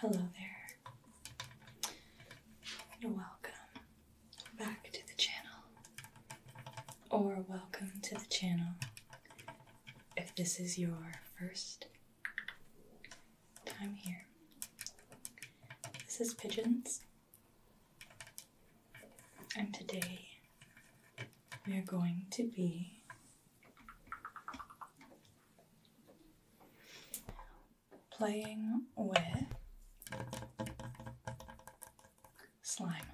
Hello there, and welcome back to the channel, or welcome to the channel if this is your first time here. This is Pigeons, and today we are going to be playing with slime.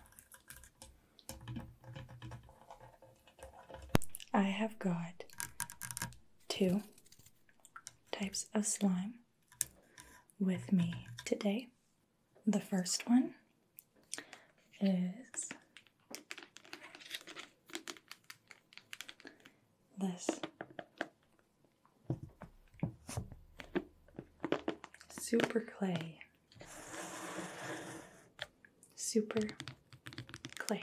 I have got two types of slime with me today. The first one is this super clay. Super clay.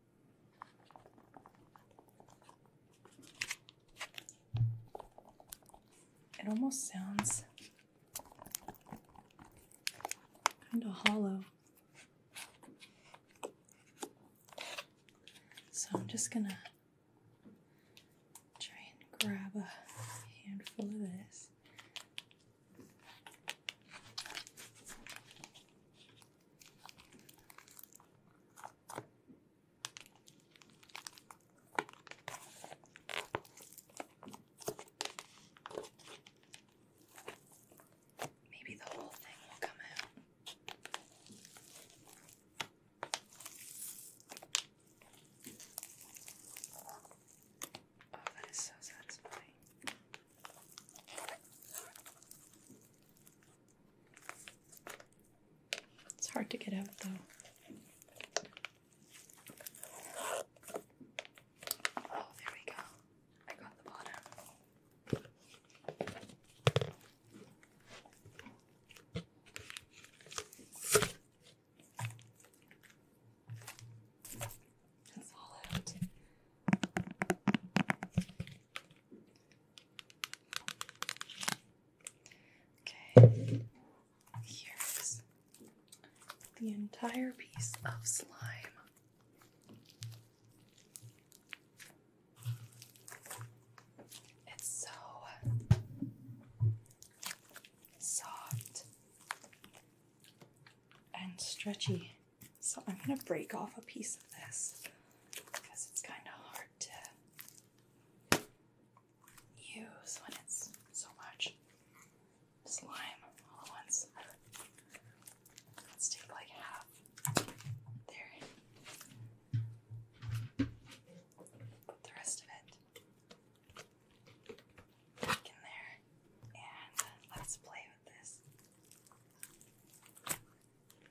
It almost sounds kind of hollow. So I'm just going to try and grab a handful of this. Maybe the whole thing will come out. Oh, that is so satisfying. It's hard to get out though. Oh, there we go. I got the bottom. It's all out. Okay, here's the entire piece of slime. It's so soft and stretchy. So I'm going to break off a piece of this because it's kind of hard to use when it's so much slime Let's take like half. There. Put the rest of it back in there. And let's play with this.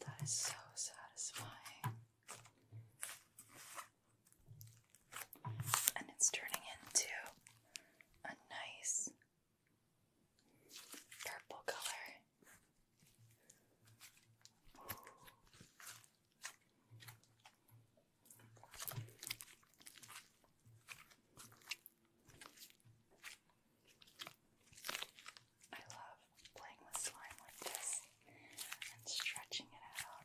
That is so satisfying. And it's turning into a nice purple color. I love playing with slime like this and stretching it out.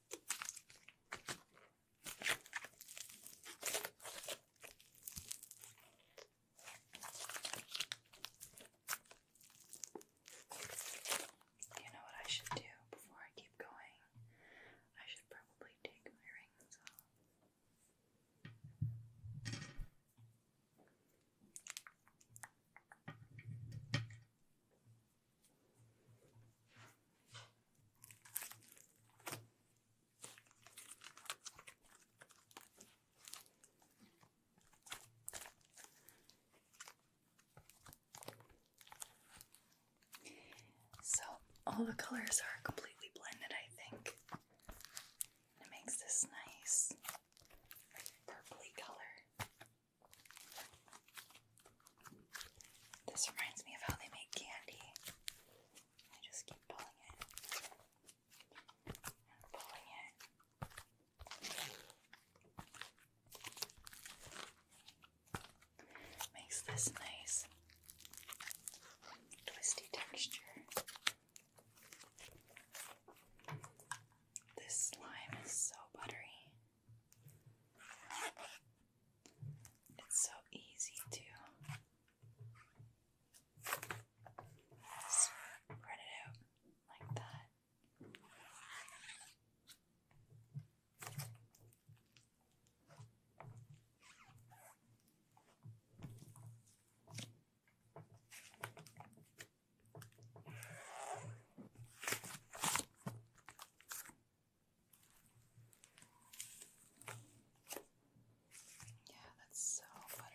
You know what I should do before I keep going? I should probably take my rings off. So, all the colors are completely blended, I think. It makes this nice purpley color. This reminds me of how they make candy. I just keep pulling it pulling it. Makes this nice twisty texture. This slime is so buttery. It's so easy to spread it out like that. Yeah, that's so buttery.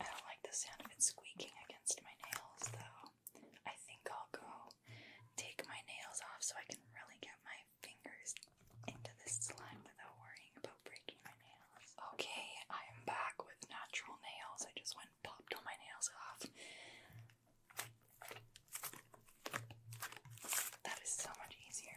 I don't like the sound of it squeaking against my nails though. I think I'll go take my nails off so I can really get my fingers into this slime without worrying about breaking my nails. Okay, I am back with natural nails. I just went and popped all my nails off. That is so much easier.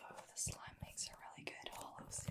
Oh, the slime makes a really good hollow sound.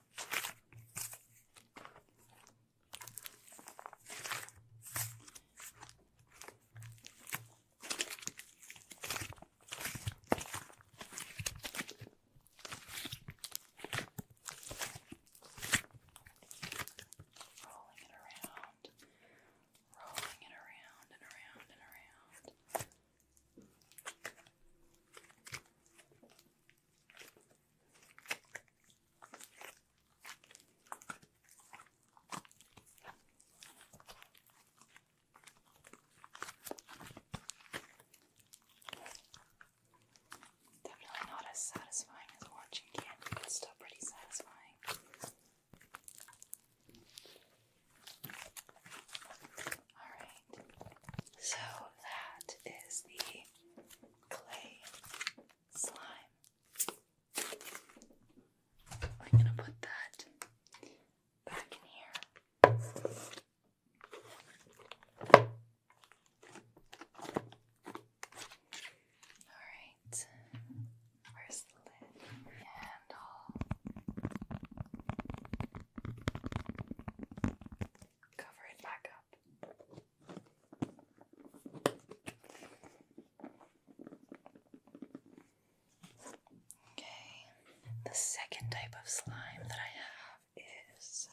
Rolling it around, rolling it around and around and around. Definitely not as satisfying as watching candy, but still pretty satisfying. Alright, so that is the clay, slime. We're gonna put that back in here. Alright, where's the lid? And cover it back up. Okay, the second type of slime that I have is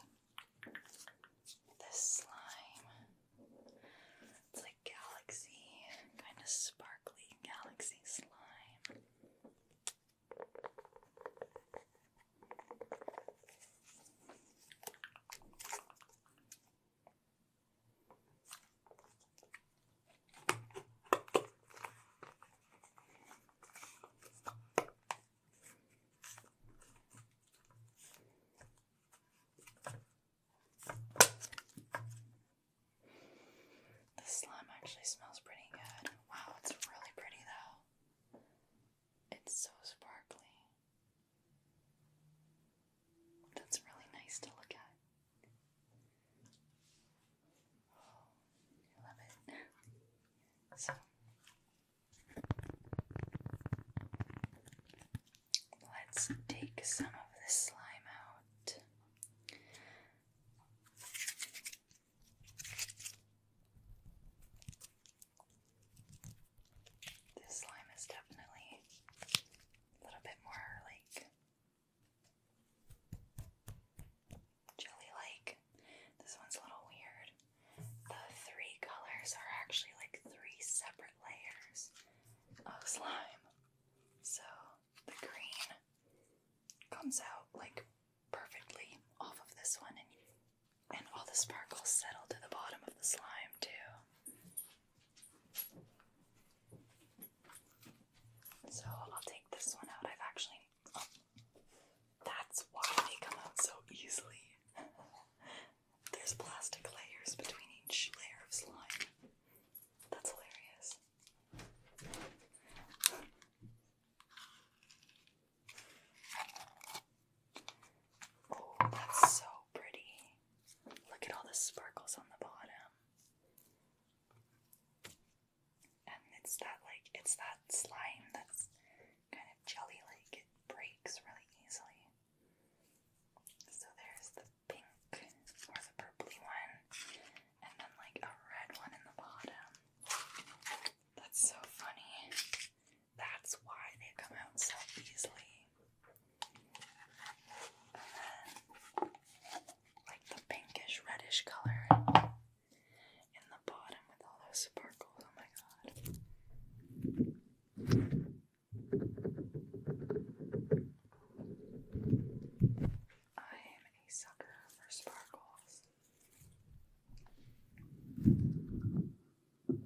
this slime. It's like galaxy, kind of sparkly galaxy slime. The slime actually smells pretty good. Wow, it's really pretty though. It's so sparkly. That's really nice to look at. Oh, I love it. So, let's take some of this slime out. This slime is definitely a little bit more like jelly like. This one's a little weird. The three colors are actually like three separate layers of slime. So the green comes out like perfectly off of this one, and and all the sparkles settle to the bottom of the slime, too. So I'll take this one out. I've actually. Oh, that's why they come out so easily. There's plastic layers between each layer of slime. That's hilarious. Oh, that's so pretty. Look at all the sparkles on the bottom. And it's that like it's that slime that's kind of jelly like it breaks really easily. So there's the pink or the purpley one and then like a red one in the bottom. That's so funny. That's why they come out so easily. like the pinkish reddish color in the bottom with all those sparkles. Oh my god. I am a sucker for sparkles. That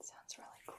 sounds really cool.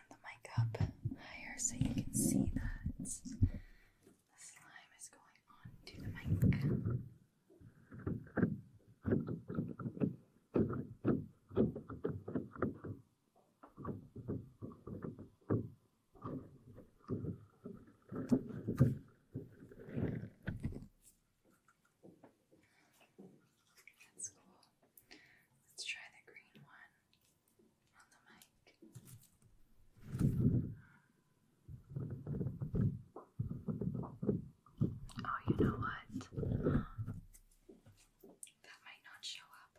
the mic up higher so you can see that the slime is going on the mic. That's cool. Let's try the green one. Oh, you know what? That might not show up.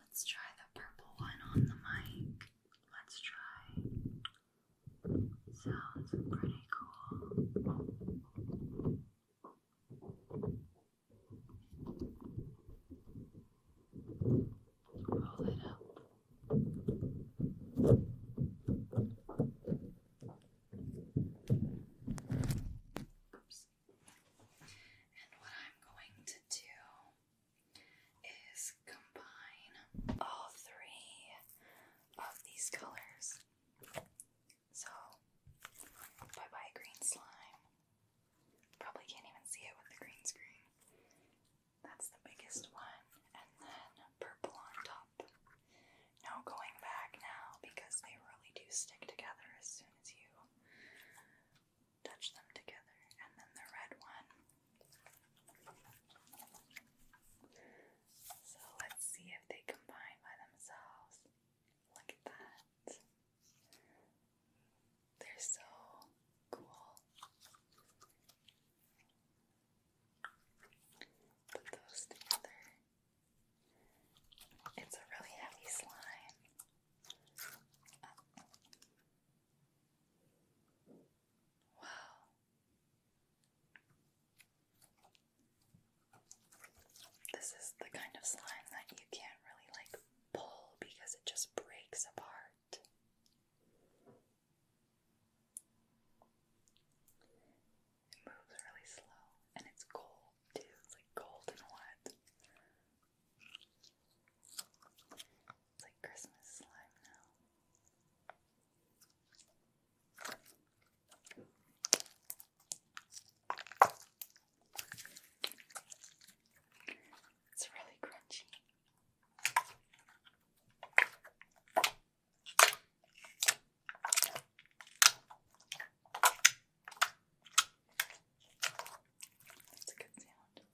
Let's try the purple one on the mic. Let's try. Sounds pretty cool. And what I'm going to do is combine all three of these colors. So, bye bye, green slime. Probably can't even see it with the green screen. That's the biggest one. And then purple on top. No going back now because they really do stick together as soon as you touch them together. And then the red one. So let's see if they combine by themselves. Look at that. They're so cool. Put those together. It's a really heavy slime. Wow. This is the kind of slime that you can't really like pull because it just breaks apart. It moves really slow and it's gold too. It's like gold and what? It's like Christmas slime now. It's really crunchy. That's a good sound.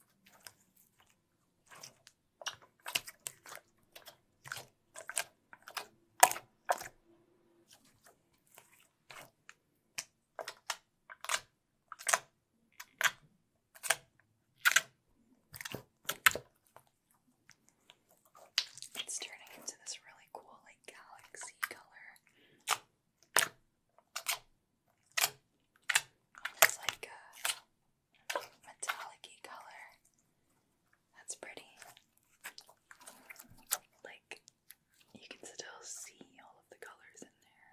It's turning into this really cool, like, galaxy color. It's like a metallic color. That's pretty. Like, you can still see all of the colors in there.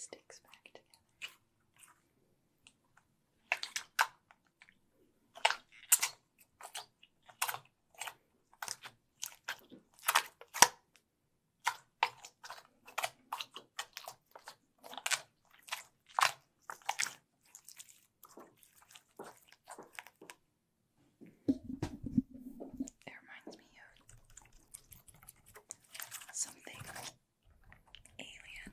Sticks back together. It reminds me of something alien.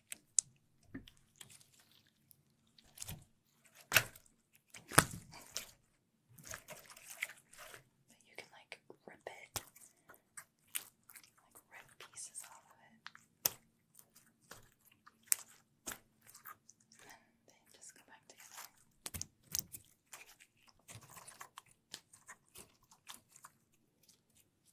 But you can like rip it, like rip pieces off of it. And then they just go back together.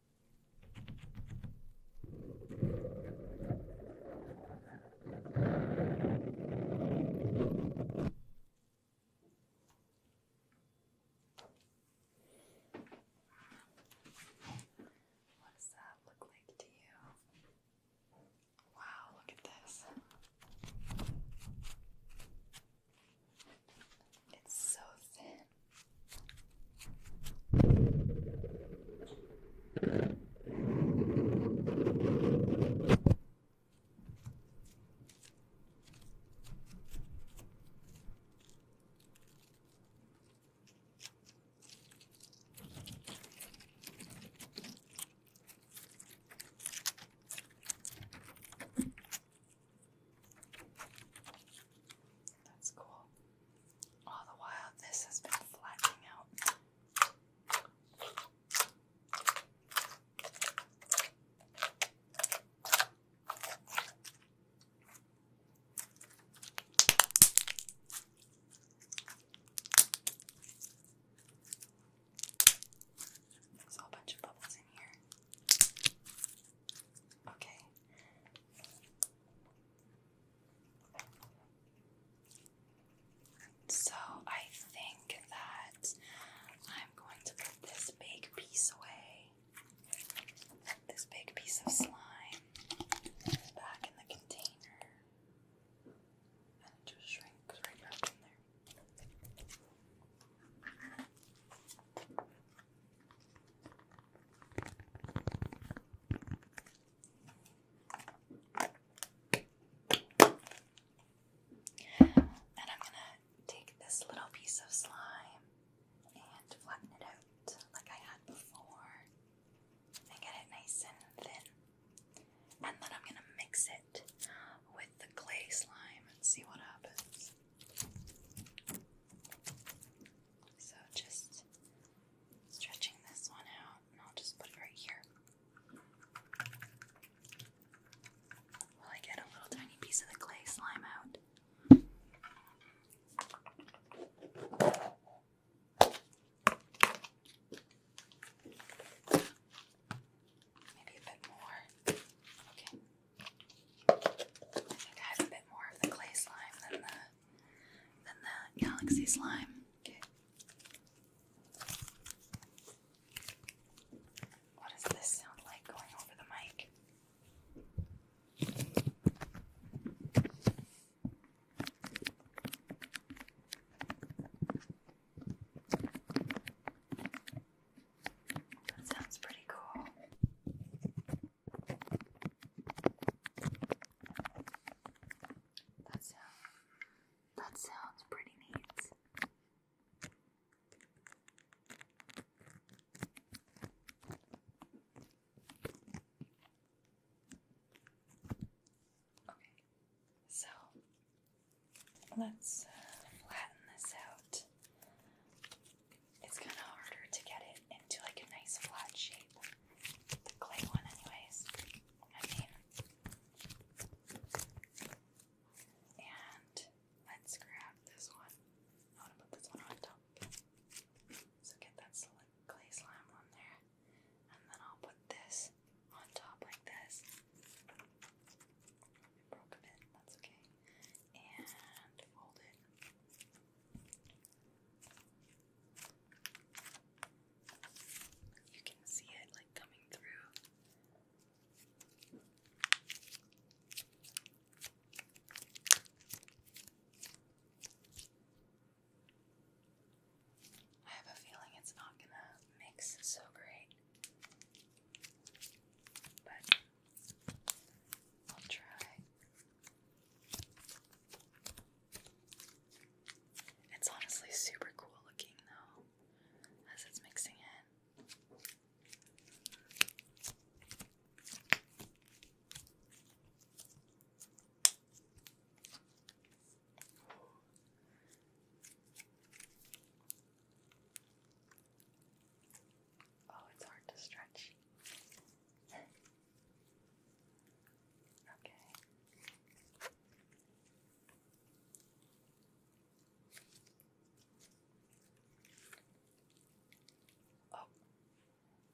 What does that look like to you? Wow, look at this. It's so thin. That's cool. All the while, this has been flattening out. There's a whole bunch of bubbles in here. Okay, so I think that I'm going to put this big piece away, this big piece of slime, back in the container, and it just shrinks right back in there. And I'm going to take this little piece of slime and flatten it out like I had before and get it nice and thin. And then I'm going to mix it with the clay slime and see what happens. So just stretching this one out, and I'll just put it right here. Will I get a little tiny piece of the clay slime out? Maybe a bit more. Okay. I think I have a bit more of the clay slime than the than the galaxy slime. What does this sound like going over the mic? That sounds pretty cool. That sounds that sounds pretty neat. Okay, so let's uh, flatten this out. It's kind of harder to get it into like a nice flat shape the clay one, anyways. I mean, and let's grab this one. I want to put this one on top. So get that clay slime on there, and then I'll put this on top like this. broke a bit, that's okay. And fold it you can see it like coming through. I have a feeling it's not gonna mix so great, but I'll try. It's honestly super cool looking though, as it's mixing in. Oh, it's hard to stretch. Okay. Oh,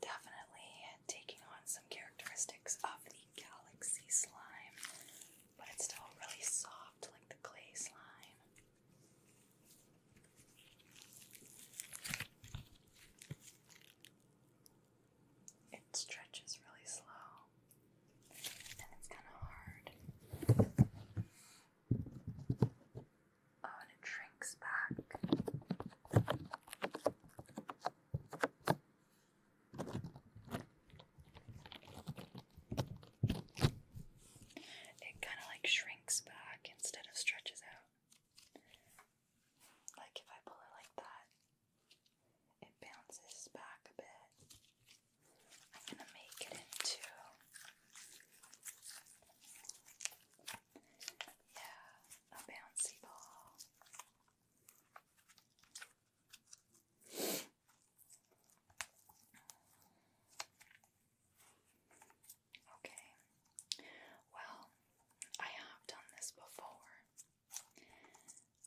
definitely taking on some characteristics of the galaxy slime, but it's still really soft like the clay slime. It stretches really slow and it's kind of hard. Oh, and it shrinks back. It kind of like shrinks back instead of stretches out. Like if I pull it like that, it bounces back a bit. I'm going to make it into. Yeah, a bouncy ball. Okay. Well, I have done this before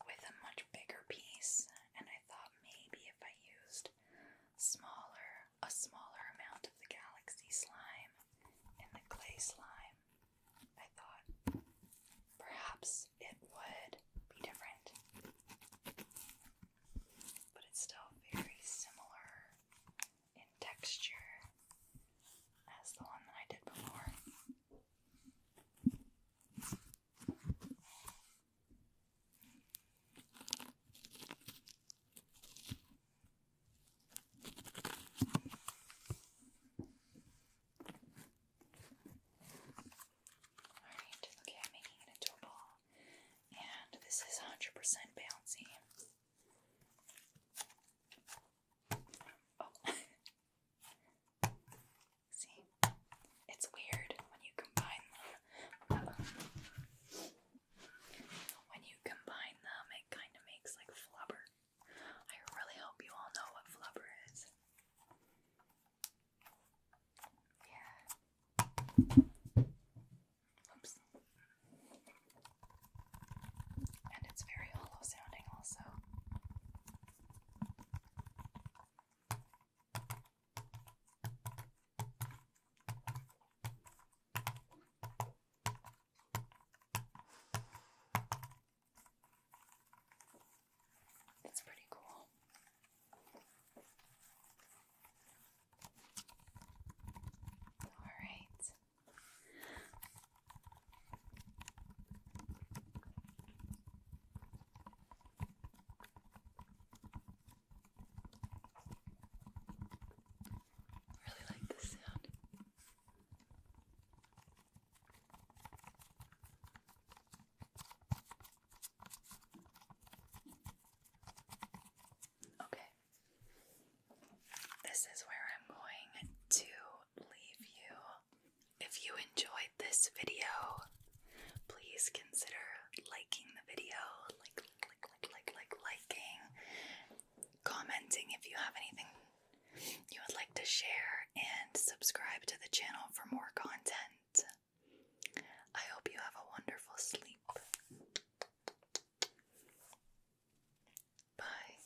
with a much bigger piece, and I thought maybe if I used smaller a smaller amount of the galaxy slime and the clay slime, I thought perhaps it would be different. But it's still very similar in texture as the one that I did before. Alright, okay, I'm making it into a ball. And this is 100% bouncy. Oh. See? It's weird when you combine them. When you combine them, it kind of makes like flubber. I really hope you all know what flubber is. Yeah. Oops. And it's very hollow sounding, also. It's pretty cool. All right. I really like this sound. Okay. This is where I'm going to leave you. If you enjoyed this video, please consider liking the video, like, like, like, like, liking, commenting if you have anything you would like to share, and subscribe to the channel for more content. I hope you have a wonderful sleep. Bye.